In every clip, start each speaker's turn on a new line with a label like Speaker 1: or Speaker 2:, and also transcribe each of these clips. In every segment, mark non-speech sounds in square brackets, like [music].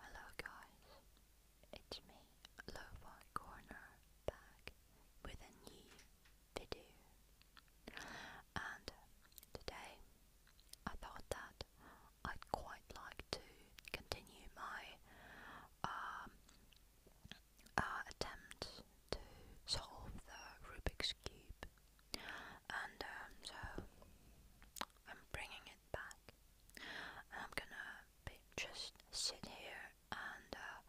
Speaker 1: Hello guys, it's me, Lofi Corner, back with a new video. And today I thought that I'd quite like to continue my um, uh, attempt to solve the Rubik's Cube. And um, so I'm bringing back. I'm gonna be just sit here and, uh,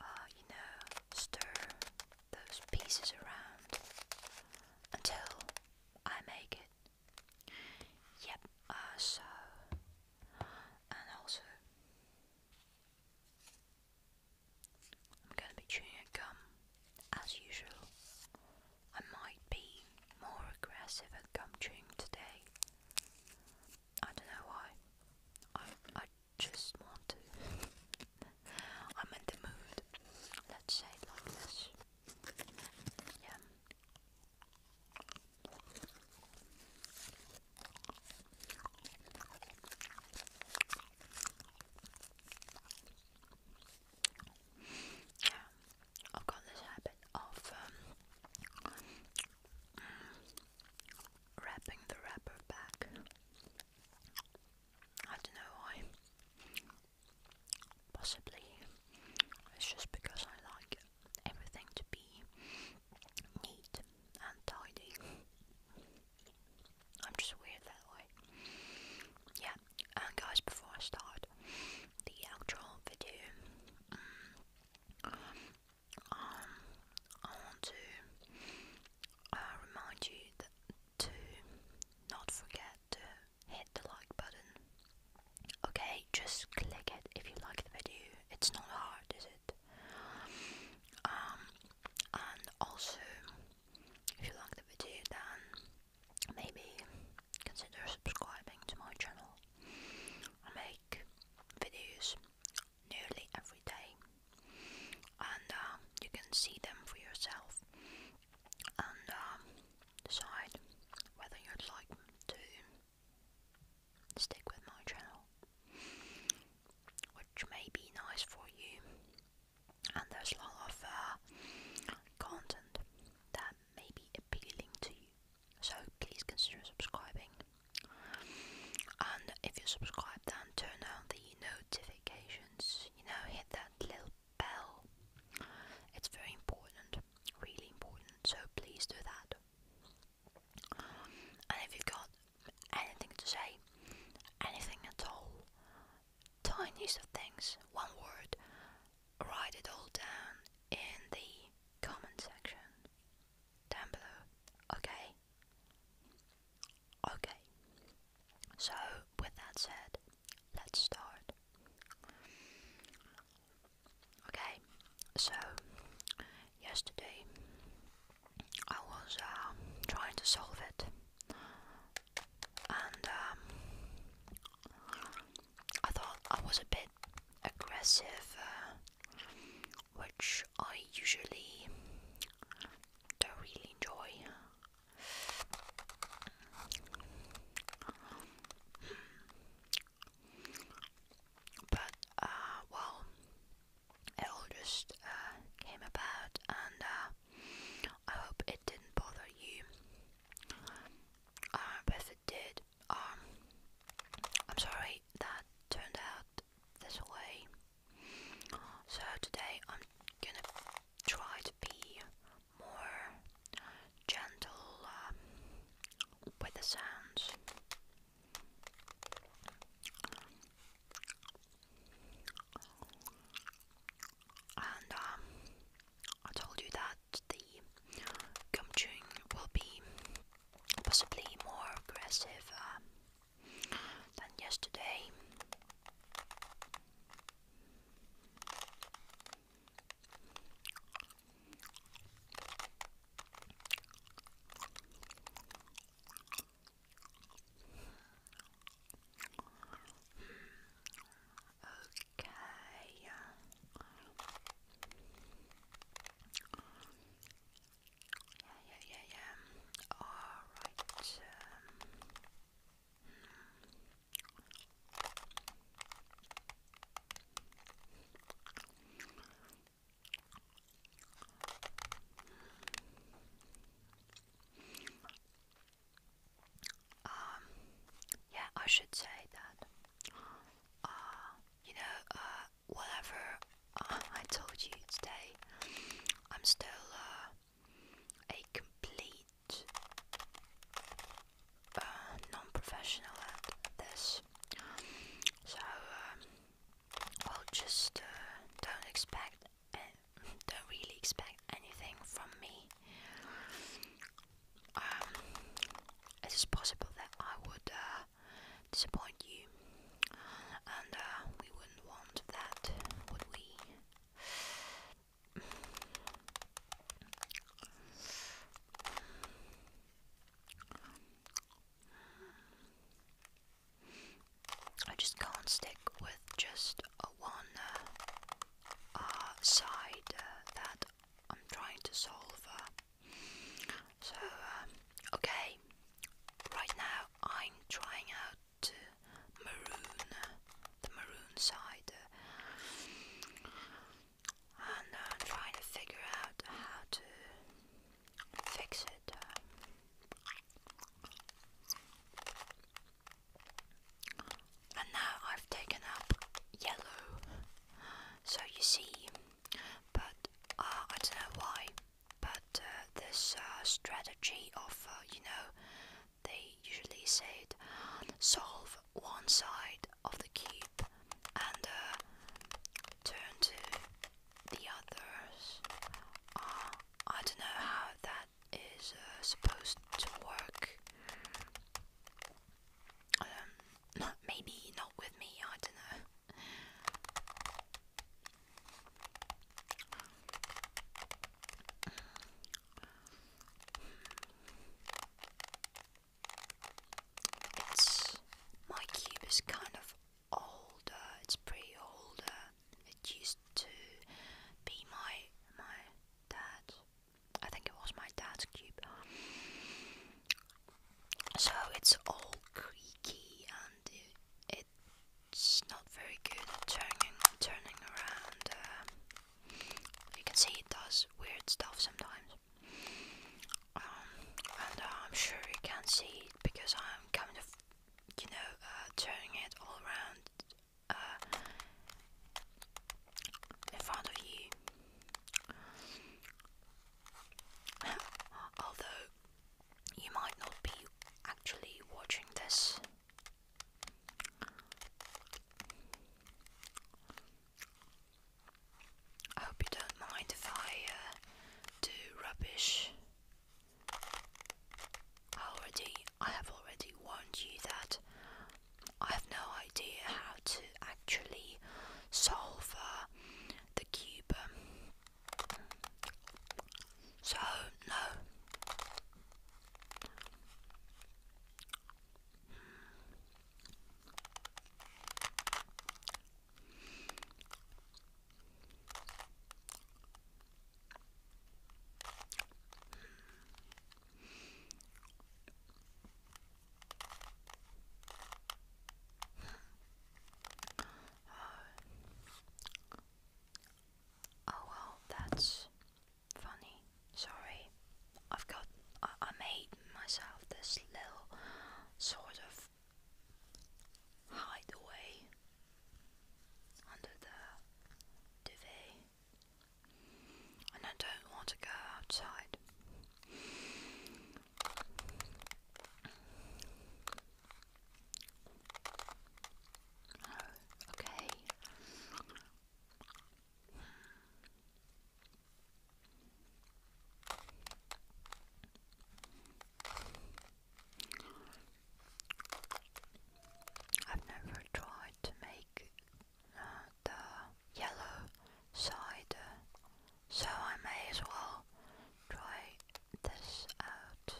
Speaker 1: uh, you know, stir those pieces around until I make it. Yep, uh, so, and also, I'm gonna be chewing gum as usual. I might be more aggressive and gum chewing today. I don't know why. I I just want to. [laughs] I'm in the mood. Let's say like this. Yeah yeah, I've got this habit of um, mm, wrapping the wrapper back. I don't know why. Possibly it's just because I like everything to be neat and tidy. I'm just weird that way. Yeah, and oh guys, before I start the actual video, um, I want to uh, remind you to not forget to hit the like button. Okay, just click it if you like the video. It's not hard, is it? Um, and also, if you like the video, then maybe consider subscribing to my channel. I make videos nearly every day, and um, you can see them for yourself and um, decide whether you'd like to stick with my channel, which may be nice for you and there's a lot of uh, content that may be appealing to you. So please consider subscribing. And if you subscribe, then turn on the notifications. You know, hit that little bell. It's very important, really important. So please do that. And if you've got anything to say, anything at all, tiniest of things, one word, write it all down in the comment section down below. Okay? Okay. So, with that said, let's start. Okay, so yesterday I was uh, trying to solve it and um, I thought I was a bit aggressive, uh, which I usually don't really enjoy. But, uh, well, it all just uh, came about, and I hope it didn't bother you. Uh, but it did, um, I'm sorry that turned out this way. So today I'm gonna try to be more gentle um, with the sounds. And um, I told you that the gum chewing will be possibly more aggressive um, than yesterday. Okay. Yeah, yeah, yeah, yeah. All right. Um, um, yeah, I should say that. Uh, you know, uh, whatever uh, I told you today, I'm still a complete non-professional at this. So, well, um, just don't expect don't really expect anything from me. Um, it is possible that I would uh, disappoint you, and uh, we wouldn't want that, would we? I just can't stick with just a one uh, uh, side uh, that I'm trying to solve. Uh. so, um, okay, right now I'm trying out uh, maroon, the maroon side, uh, and I'm trying to figure out how to fix it. Uh, and now I've taken up yellow, so you see, but uh, I don't know why, but uh, this uh, strategy of, you know, they usually said solve one side of the cube and turn to the others. I don't know how that that is uh, supposed to work. Um, maybe not with me, I don't know. It's my cube is kind of older, it's pretty older. It used to be my my dad. I think it was my dad's cube. So it's all creaky and it's not very good at turning turning around. Uh, you can see it does weird stuff sometimes. Um, and uh, I'm sure you can see it because I'm kind of, you know, uh, turning it all around uh, in front of you. [laughs] Although you might not be actually watching this. I hope you don't mind if I uh, do rubbish Already, I have already warned you that I have no idea how to actually solve uh, the cube. So, no. Uh, oh well, that's funny. Sorry, I've got. I made myself this little sort of hideaway under the duvet, and I don't want to go outside. Oh, okay. I've never tried to make uh, the yellow cider, so I may as well try this out.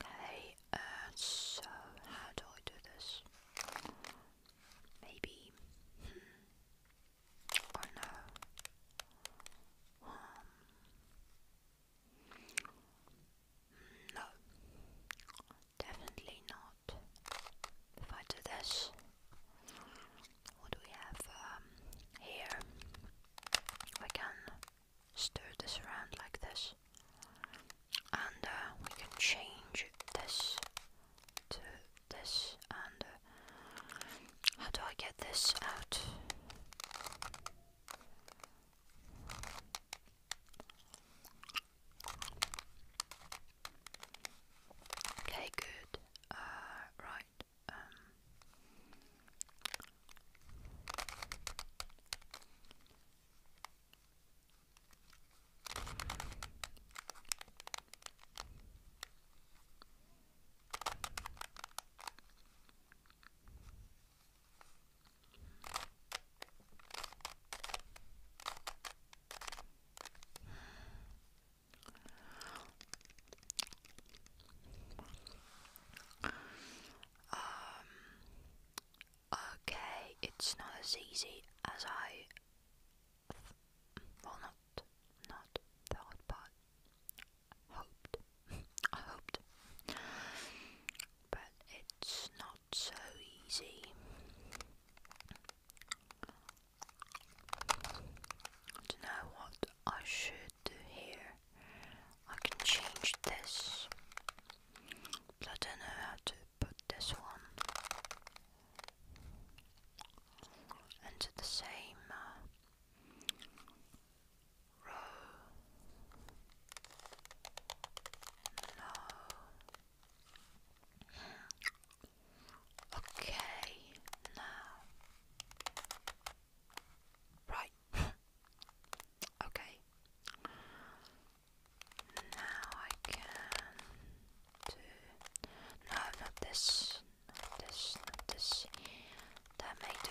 Speaker 1: Okay, uh, so how do I do this? Maybe. Hmm. Oh no, definitely not. If I do this, what do we have um, here? We can stir this around like this, and uh, we can change this to this. And uh, how do I get this out? Okay, good. Uh, right. Um, okay, it's not as easy as I well not not thought but hoped [laughs] I hoped but it's not so easy. I don't know what I should do here. I can change this, but I don't know how to put this one into the same uh, row. No. Okay, now. Right. [laughs] okay. Now I can do. No, not this. Not this. Not this. That may do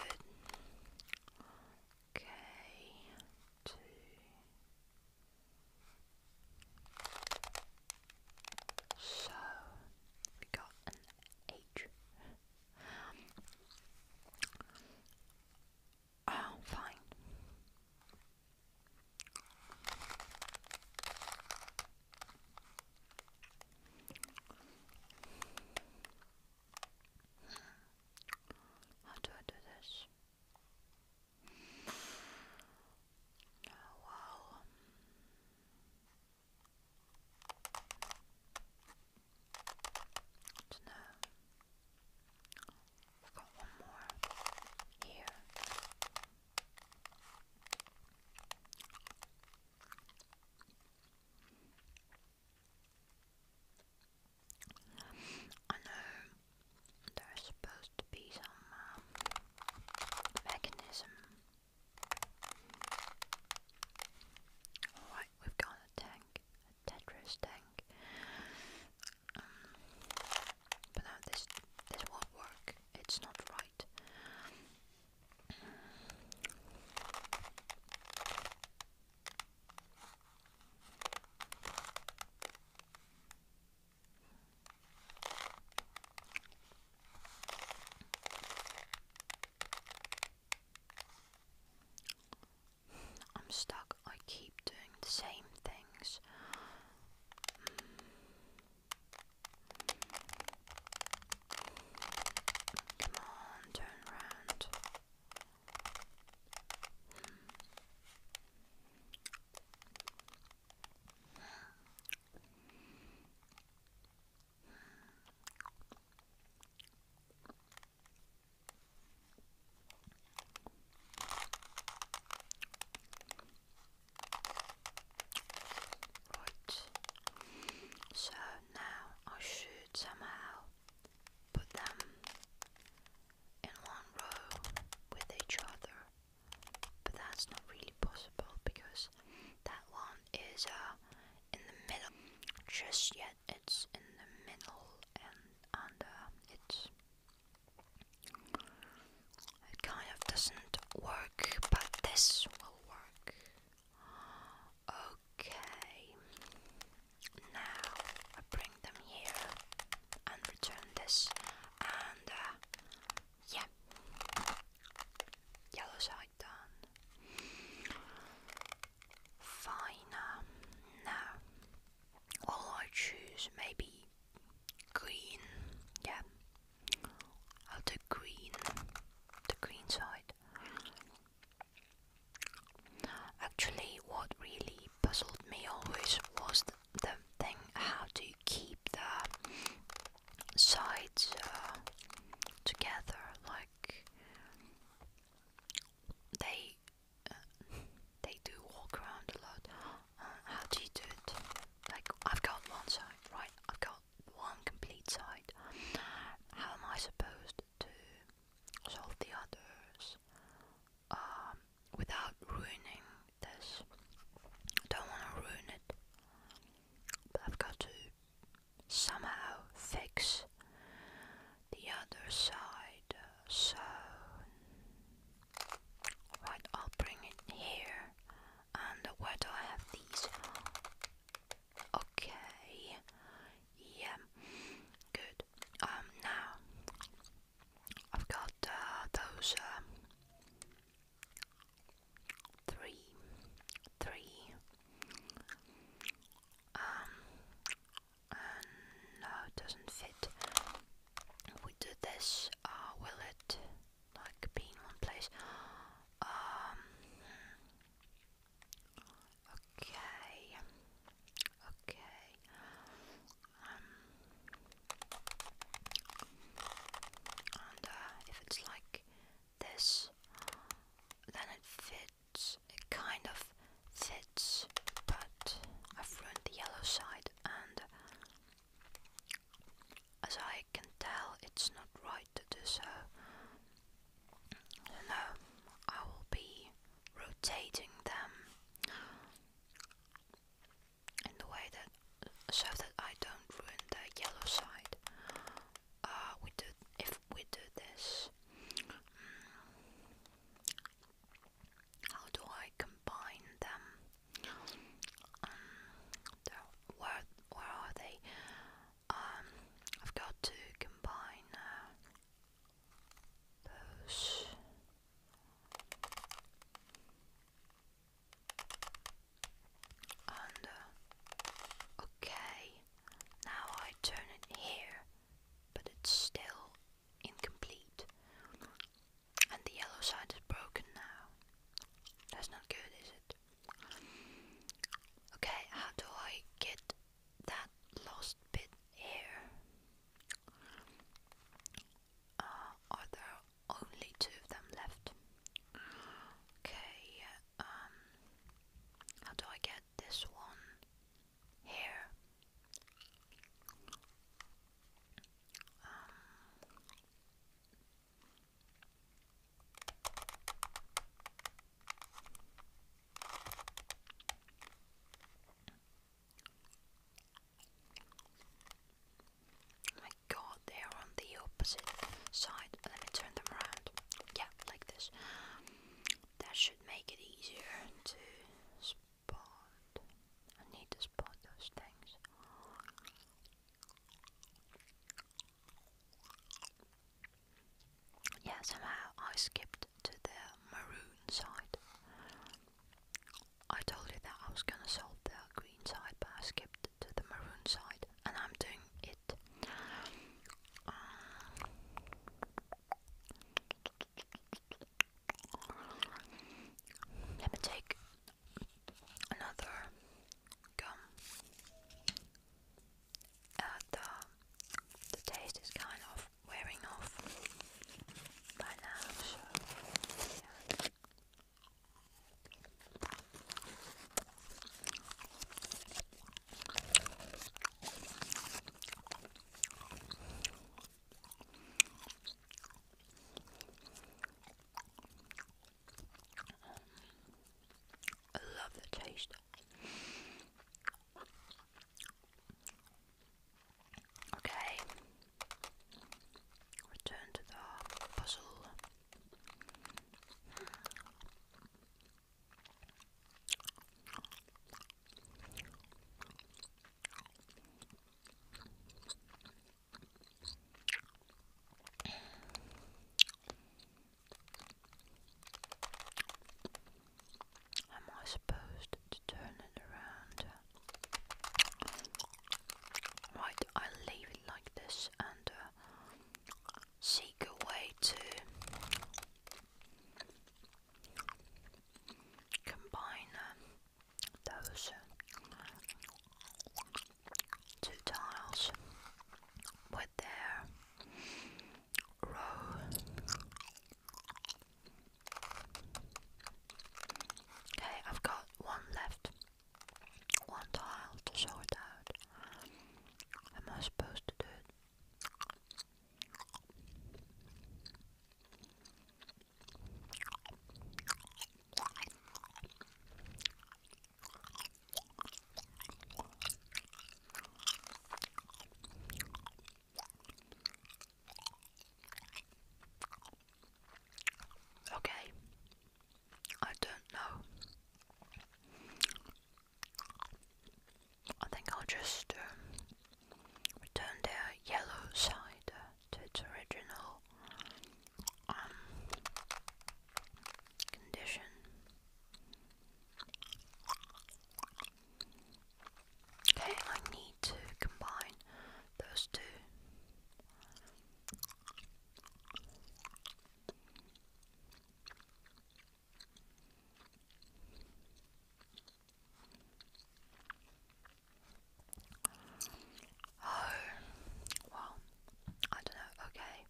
Speaker 1: Okay. Two. So we got an H. Oh, fine. How do I do this? Oh, wow. Good to know. We've got one more here. I know there's supposed to be some um, mechanism. Alright, we've got a tank, a Tetris tank. Um, but no, this this won't work. It's not right. I'm stuck. I keep doing the same things. Come on, turn around. Right. So now I should somehow put them in one row with each other, but that's not really possible because that one is uh, in the middle just yet, it's in the middle and, it's it kind of doesn't work, but this will work. Okay, now I bring them here and return this and uh, yeah, yellow side done. Fine, um, now all I choose maybe green, yeah, out will do green, the green side. Actually, what really puzzled me always was the, thing how to keep the sides uh, together. Like they uh, they do walk around a lot. Uh, how do you do it? Like I've got one side, right? I've got one complete side. How am I supposed to solve the others? um, without ruining this. I don't want to ruin it, but I've got to somehow fix the other side. So, right, I'll bring it here. And where do I have these? Okay, yeah, good. Um, now I've got uh, those uh, three, three, um, no, it doesn't fit. We do this. Uh, will it like be in one place? Okay. Okay. Um, and uh, if it's like this, then it fits. It kind of fits, but I've ruined the yellow side, and as I can tell, it's not right to do so. No, I will be rotating them in the way that so that I don't ruin the yellow side. Uh, we do if we do this. how do I combine them? Um, where where are they? Um, I've got to combine. Uh, those and okay now I turn it here but it's still incomplete and the yellow side is broken now that's not good is it okay how do I get that lost bit here uh, are there only two of them left? Okay, um, how do I get this one here? Um, Oh my god, they are on the opposite side. Let me turn them around. Yeah, like this. That should make it easier to spot. I need to spot those things yeah, somehow I skipped to the maroon side. I told you that I was gonna solve the green side, but I skipped to the maroon side, and I'm doing it. Um, let me take another gum. Uh, the, the taste is kind of wearing off by now, i I love the taste. Okay. Return to the puzzle. Am I supposed to turn it around? Right, i leave it like this and uh, seek a way to combine uh, those uh, two tiles with their Rose. Okay, I've got one left. One tile to sort out. Am I supposed to do it? Okay. I don't know. I think I'll just um, turn the yellow side to its original um, condition. Okay, I need to combine those two. Oh, well, I don't know. Okay,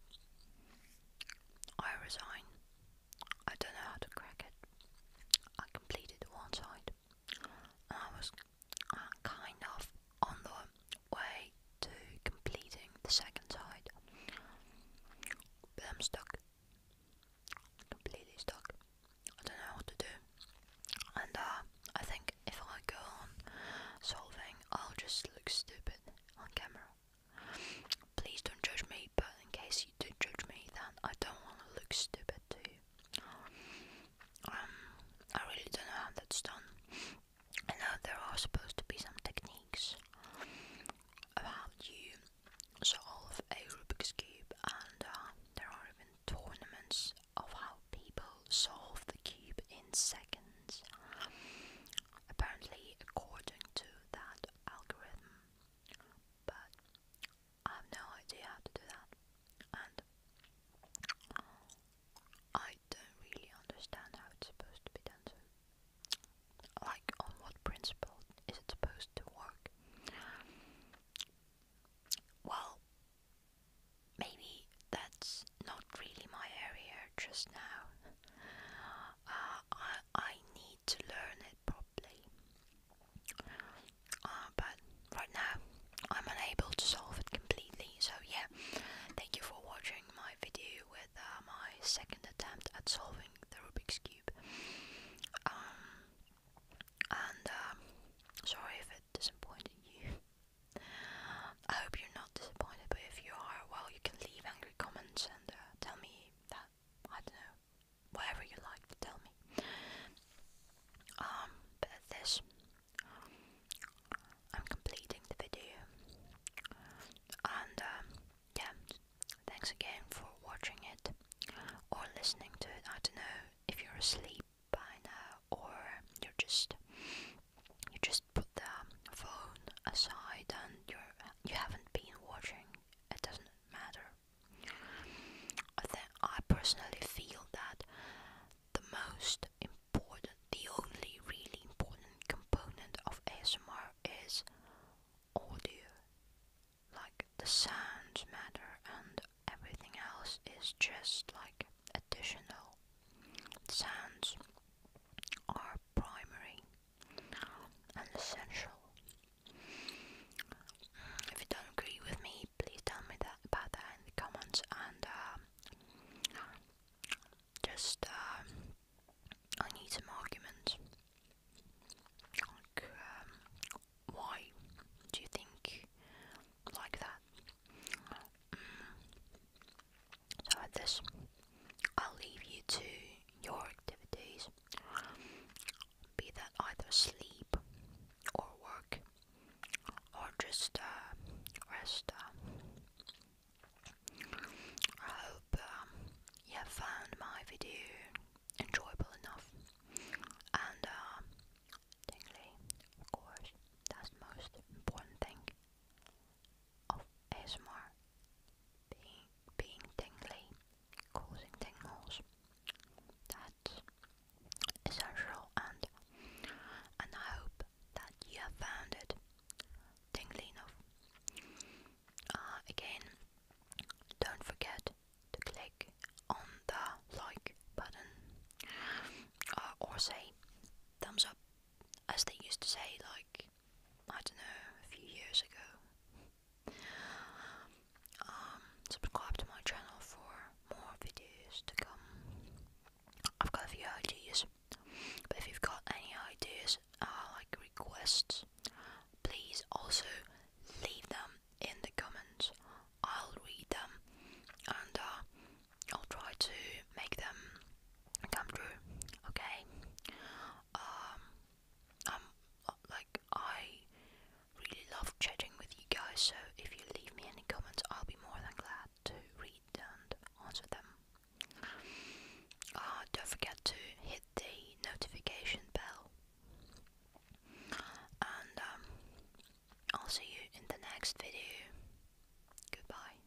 Speaker 1: I resign. I don't know how to crack it. I completed one side. And I was uh, kind of on the way to completing the second side. But I'm stuck. Completely stuck. I don't know what to do. And uh, I think if I go on solving, I'll just look stupid on camera. Please don't judge me, but in case you do judge me, then I don't want to look stupid to you. Um, I really don't know how that's done. I know there are supposed to be some techniques about you solve a Rubik's Cube, and uh, there are even tournaments of how people solve the cube in seconds. Apparently, according to that algorithm, but I have no idea how to do that, and I don't really understand how it's supposed to be done. So, like, on what principle is it supposed to work? Well, maybe that's not really my area just now. Uh, I, I need to learn it properly. Uh, but right now, I'm unable to solve it completely. So yeah, thank you for watching my video with uh, my second attempt at solving the Rubik's Cube. Um, and um, sorry if it disappointed you. I hope you're not disappointed, but if you are, well, you can leave angry comments and uh, tell me that I don't know, whatever you like to tell me. Um, but this, I'm completing the video, and um, yeah, thanks again for watching it or listening to it. I don't know if you're asleep by now or you're just you just put the phone aside and you're you haven't been watching it doesn't matter. Then I personally feel that the most important, the only really important component of ASMR is audio. Like the sounds matter and everything else is just like additional. Sounds are primary and If you don't agree with me, please tell me that about that in the comments and um, just um, I need some arguments. Um, why do you think like that? Mm. So at this, I'll leave you to your activities, be that either sleep or work or just uh, rest. Uh. I hope um, you found my video enjoyable enough and uh, of course, that's most important thing of ASMR being, being tingly, causing tingles. That's essential and and I hope that you have found it tingly enough. Uh, again, don't forget to click on the like button uh, or say thumbs up as they used to say like I don't know, a few years ago. Um, subscribe to my channel for more videos to come. I've got a few ideas, but if you've got any ideas, uh, like requests, please also leave them in the comments. I'll read them and uh, I'll try to make them come true. Okay. Um, um like I really love chatting with you guys so if you leave me any comments I'll be more than glad to read and answer them. Uh, don't forget to hit the notification bell and um, I'll see you in the next video. Goodbye.